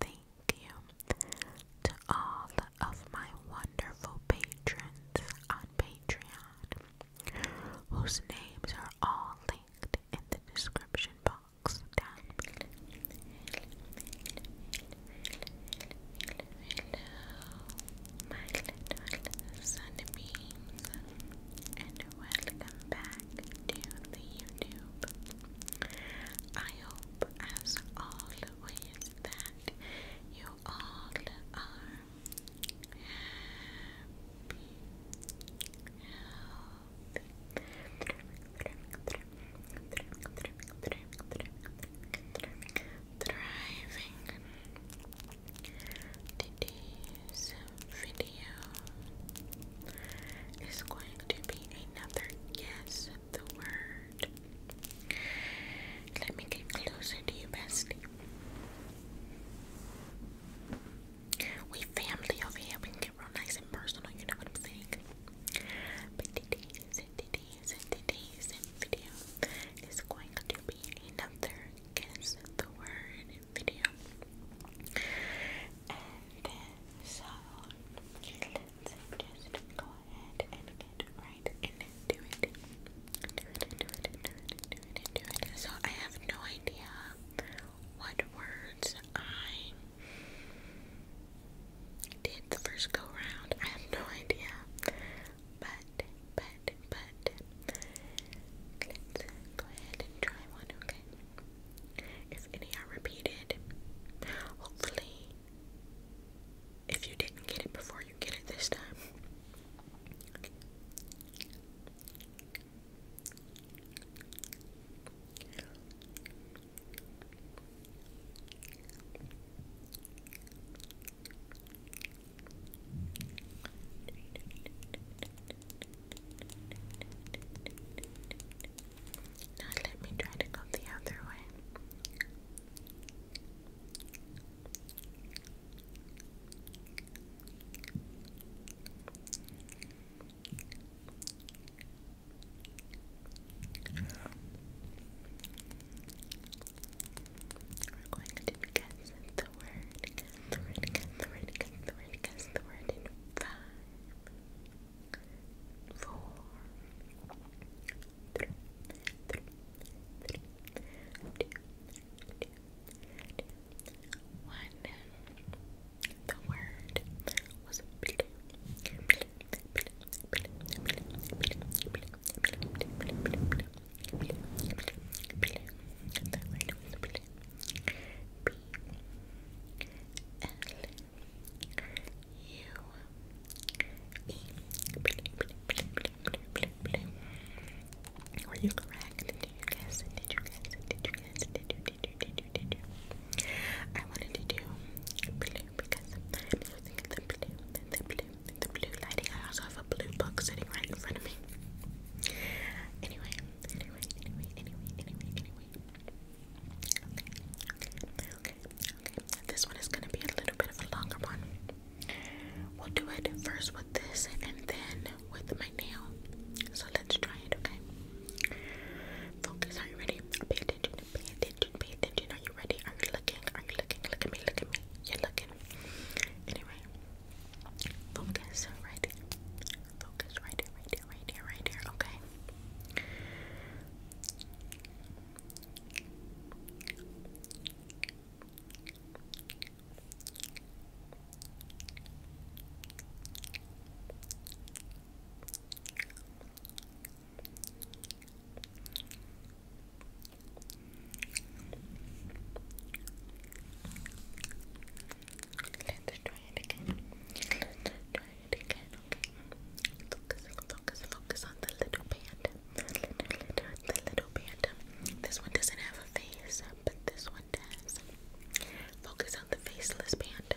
Thank you to all of my wonderful patrons on Patreon, whose names are all linked in the description box down below. my little sunbeams, and welcome back to the YouTube. I hope as always that you all are happy, healthy, video is going to be another guess of the word. Let me get closer to you, bestie. We family over here. We can get real nice and personal. You know what I'm saying? But today's today's video is going to be another guess the word video, so let's just go ahead and get right into it. So I have no idea what words I did the first go round. I have no idea. But, but, but, let's go ahead and try one, okay? If any are repeated, hopefully, if you didn't get it before, you get it this time. Now let me try to go the other way. We're going to guess the word, the word, the word, the word, the word in five, four, three, three, three, two, two, two, one. The word was B L U E. Were you correct? Did you guess Did you guess Did you guess Did you? Did you? Did you? Did you? I wanted to do blue because I'm using the blue, the blue, the blue I also have a blue book sitting right in front of me. Anyway, anyway, anyway, anyway, anyway, anyway. This one is gonna be a little bit of a longer one. We'll do it first with this and then with my nail. So let's try it, okay? Focus, are you ready? Pay attention, pay attention, pay attention. Are you ready? Are you looking? Are you looking? Look at me, look at me. You're looking. Anyway. Focus Ready. Focus right, right, right here, right here, Okay. Let's try it again. try it again, okay? Focus, focus, focus on the little panda. The the little panda. This one doesn't have a face, but this one does. Focus on the faceless panda.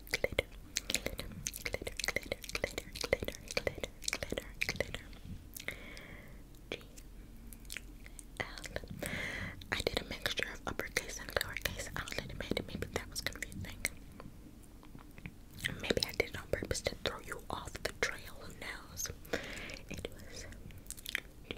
glitter, glitter, glitter, glitter, glitter, glitter, glitter, glitter, glitter. G L. I did a mixture of uppercase and lowercase outlet. Maybe maybe that was confusing. Maybe I did it on purpose to throw you off the trail. Who knows? It was G L I D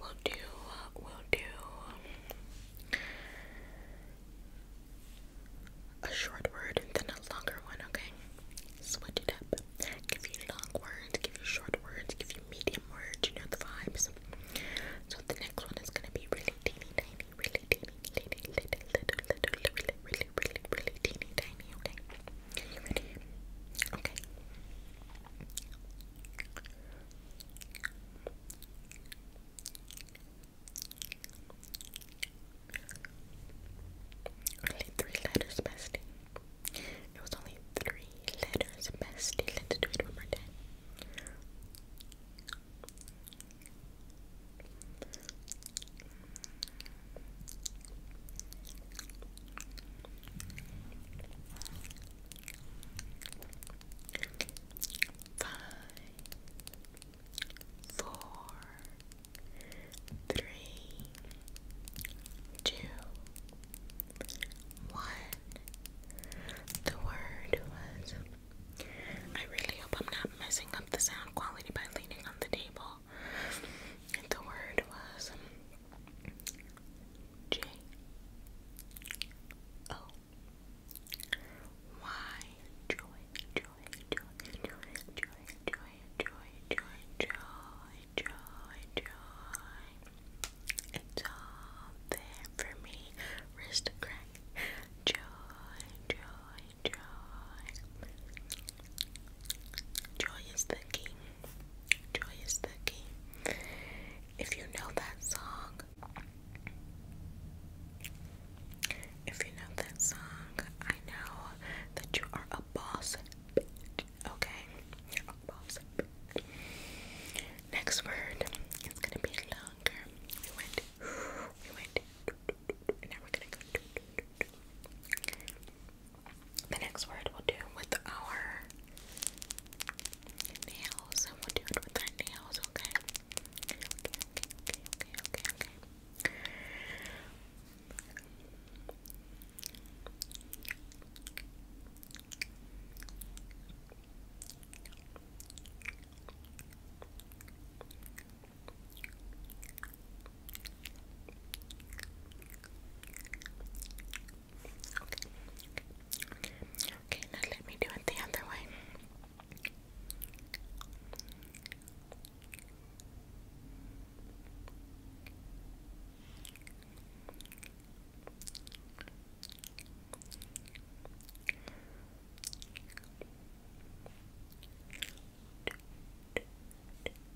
We'll do, we'll do a short word and then a longer one, okay? Switch it up. Give you long words, give you short words, give you medium words, you know the vibes. So the next one is gonna be really teeny tiny, really teeny, teeny, little, little, little, little, really, really, really, really teeny tiny, okay? Are you ready? Okay. Only three letters, bestie. It was only three letters, bestie. Let's do it one more time. Five, four, three, two, one. The word was. I really hope I'm not messing up the sound quality by leaning on the table well. The word was J O Y joy, joy, joy, joy, joy, joy, joy, joy, joy, joy, joy. It's all there for me. Wrist crack. Joy, joy, joy. Joy is the key. Joy is the key. If you know that song, if you know that song, I know that you are a boss. Okay? A boss. Next word is gonna be longer. We went, we went, now we're gonna go. The next word we'll do with our nails, and we'll do it with our nails, okay? Okay. Okay, now let me do it the other way.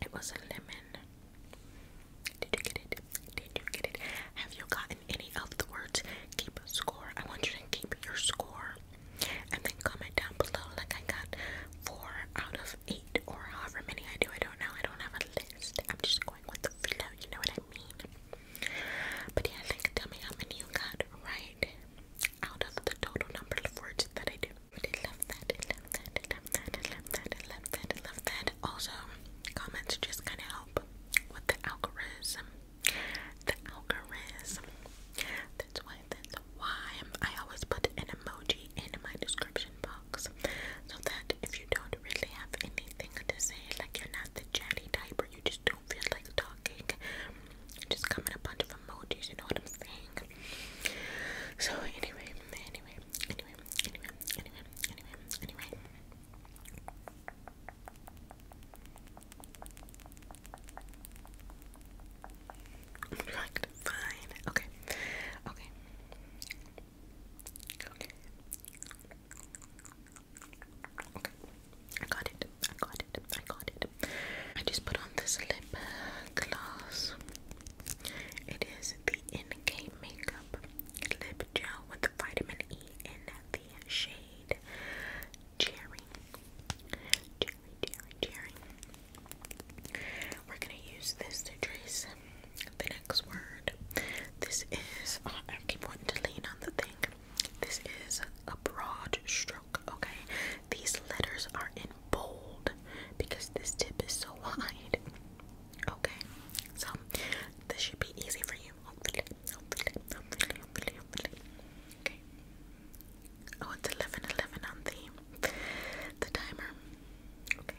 It was a lemon. Did you get it? Did you get it? Have you gotten any of the words? Keep a score. I want you to keep your score. And then comment down below like I got four out of eight or however many I do. I don't know. I don't have a list. I'm just going with the flow, you know what I mean? But yeah, like tell me how many you got right out of the total number of words that I do. But I love that, love that, love that, love that, love that, love that. Also, comments just kind of help with the algorithm. The algorithm. That's why, that's why I always put an emoji in my description box. So that if you don't really have anything to say, like you're not the chatty type or you just don't feel like talking, just come a bunch of emojis, you know what I'm saying? So anyway, anyway, anyway, anyway, anyway, anyway, anyway. i Okay. Okay. Okay. I got it. I got it. I got it. I just put on this lip gloss. It is the in-game Makeup Lip Gel with vitamin E in the shade Cherry. Cherry, cherry, cherry. We're gonna use this to trace the next word. This is, oh, I keep wanting to lean on the thing. This is a broad stroke, okay? These letters are in bold because this tip is so wide. Okay, so this should be easy for you. Hopefully, hopefully, hopefully, hopefully, hopefully. Okay. Oh, it's 11 on the timer. Okay.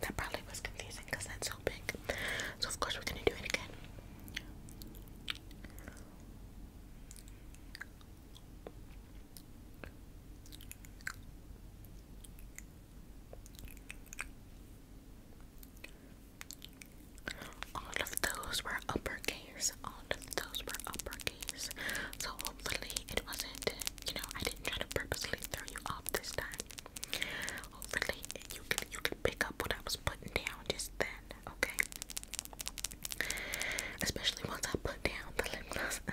That probably was confusing because that's so big. So, of course, we're going to do it again. All of those were uppercase. All of those were uppercase. So hopefully it wasn't, you know, I didn't try to purposely throw you off this time. Hopefully you you could pick up what I was putting down just then, okay? Especially once I put down the lip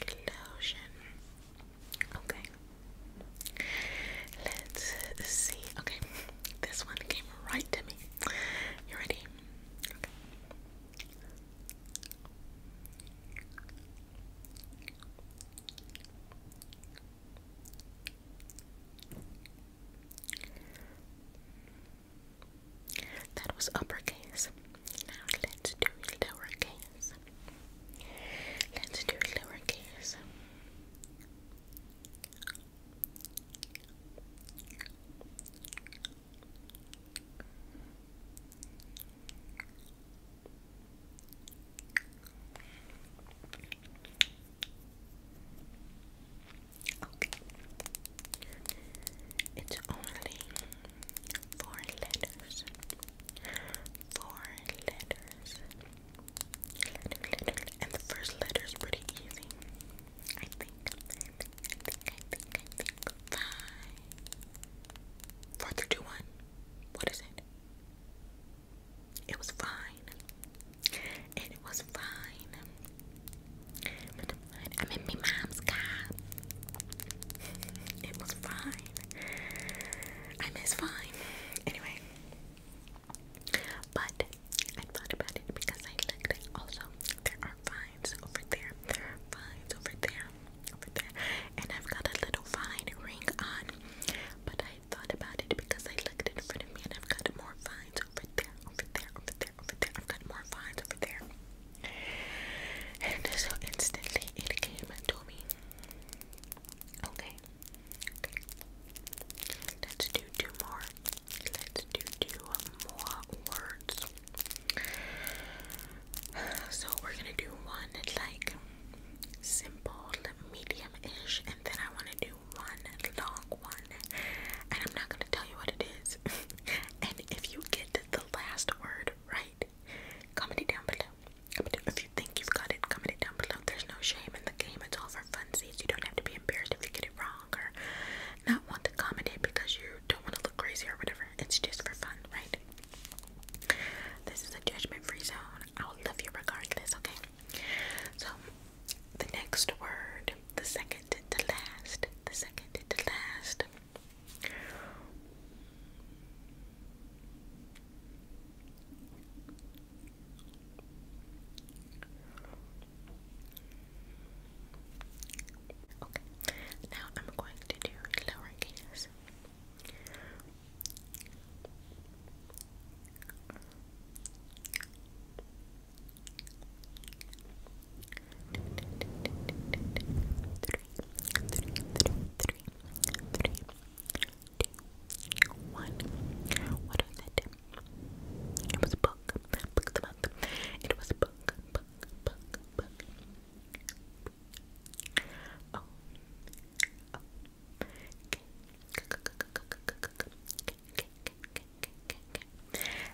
lotion. Okay. Let's see. Okay. This one came right to me. You ready? Okay. That was uppercase. Now let's do lowercase. Let's do lowercase. Okay. It's only Four letters. Four letters. And the first letter is pretty easy. I think. I think. I think. I think. I think. Five. Four, three, two, one. What is it? It was fine. It was fine. I'm in my mom's car. it was fine. I miss fine. Anyway. But I thought about it because I looked also there are vines over there. There over there. Over there. And I've got a little vine ring on. But I thought about it because I looked in front of me and I've got more vines over there, over there, over there, over there. I've got more vines over there. And so instantly it came to me. Okay. Okay. Let's do two more. Let's do two more words. So we're gonna do one like simple, medium-ish, and then I wanna do one long one. And I'm not gonna tell you what it is. and if you get the last word right? Comment it down below. If you think you've got it, comment it down below. There's no shame in the game. It's all for fun, so You don't have to be embarrassed if you get it wrong or not want to comment it because you don't want to look crazy or whatever. It's just for fun, right? This is a judgment-free zone. I'll love you regardless, okay? So, the next word, the second to last, the second to last Okay, now I'm going to do lowercase. Okay two, What was it? It was a book. Book the book. It was a book. Book. Book. Book. Oh. Oh. Okay.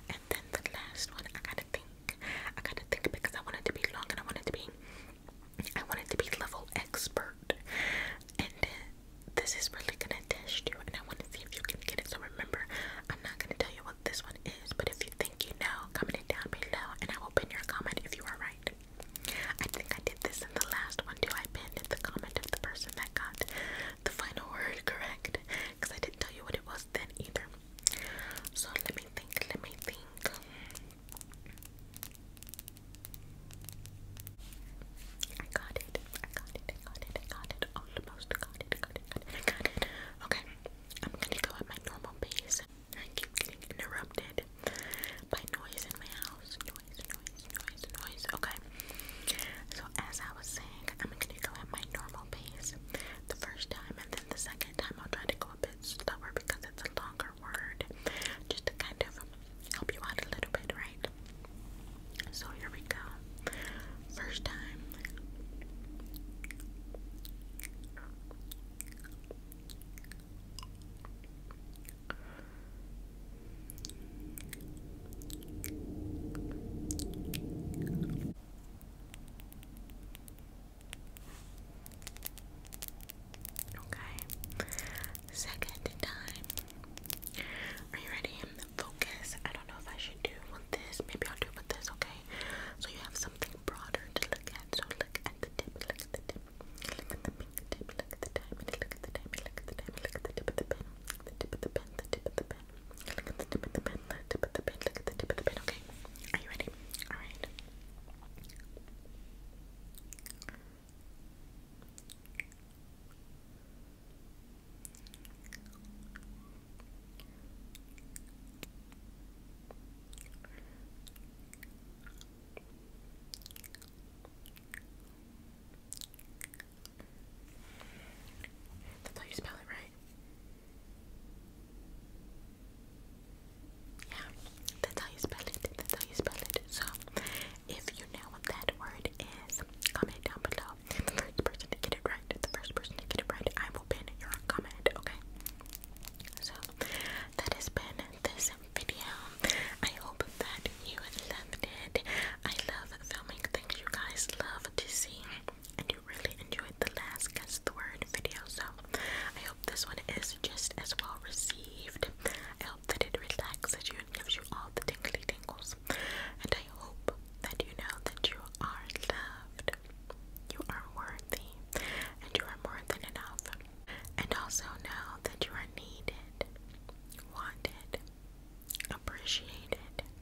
And then the last one, I gotta think I gotta think because I want it to be long and I want it to be I want it to be level expert. And this is really gonna test you and I wanna see if you can get it. So remember, I'm not gonna tell you what this one is, but if you think you know, comment it down below and I will pin your comment if you are right. I think I did this in the last one too. I pinned the comment of the person that got the final word correct because I didn't tell you what it was then either. So let me think, let me think. I got it, I got it, I got it, I got it, almost got it, got it, got it, Okay, I'm gonna go at my normal pace. I keep getting interrupted by noise in my house. Noise, noise, noise, noise. Okay, so as I was saying, I'm gonna go at my normal the first time, and then the second time I'll try to go a bit slower because it's a longer word, just to kind of help you out a little bit, right? So here we go. First time. Okay. Second time. Are you ready? Focus. I don't know if I should do with this. Maybe I'll do with this, okay? So you have something broader to look at. So look at the tip, look at the tip. Look at the pink tip, look at the diamond, look at the diamond, look at the diamond, look at the tip of the pen. The tip of the pen, the tip of the pen. Look at the tip of the pen, the tip of the pen, look at the tip of the pen, okay? Are you ready? Alright. That's how you spell it, right? Yeah, that's how you spell it. That's how you spell it. So, if you know what that word is, comment down below. The first person to get it right, the first person to get it right, I will pin your comment, okay? So, that has been this video. I hope that you loved it. I love filming things you guys love to see and you really enjoyed the last Guess the Word video, so I hope this one is just as well received. I hope that it relaxes you and gives you all the tingly tingles, and I hope that you know that you are loved, you are worthy, and you are more than enough. And also know that you are needed, wanted, appreciated,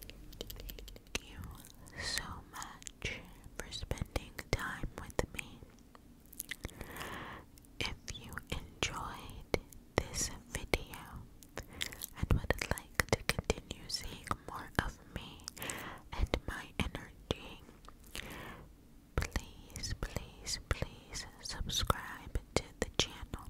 Thank you so much for spending time with me. If you enjoyed this video and would like to continue seeing more of me and my energy, please, please, please subscribe to the channel.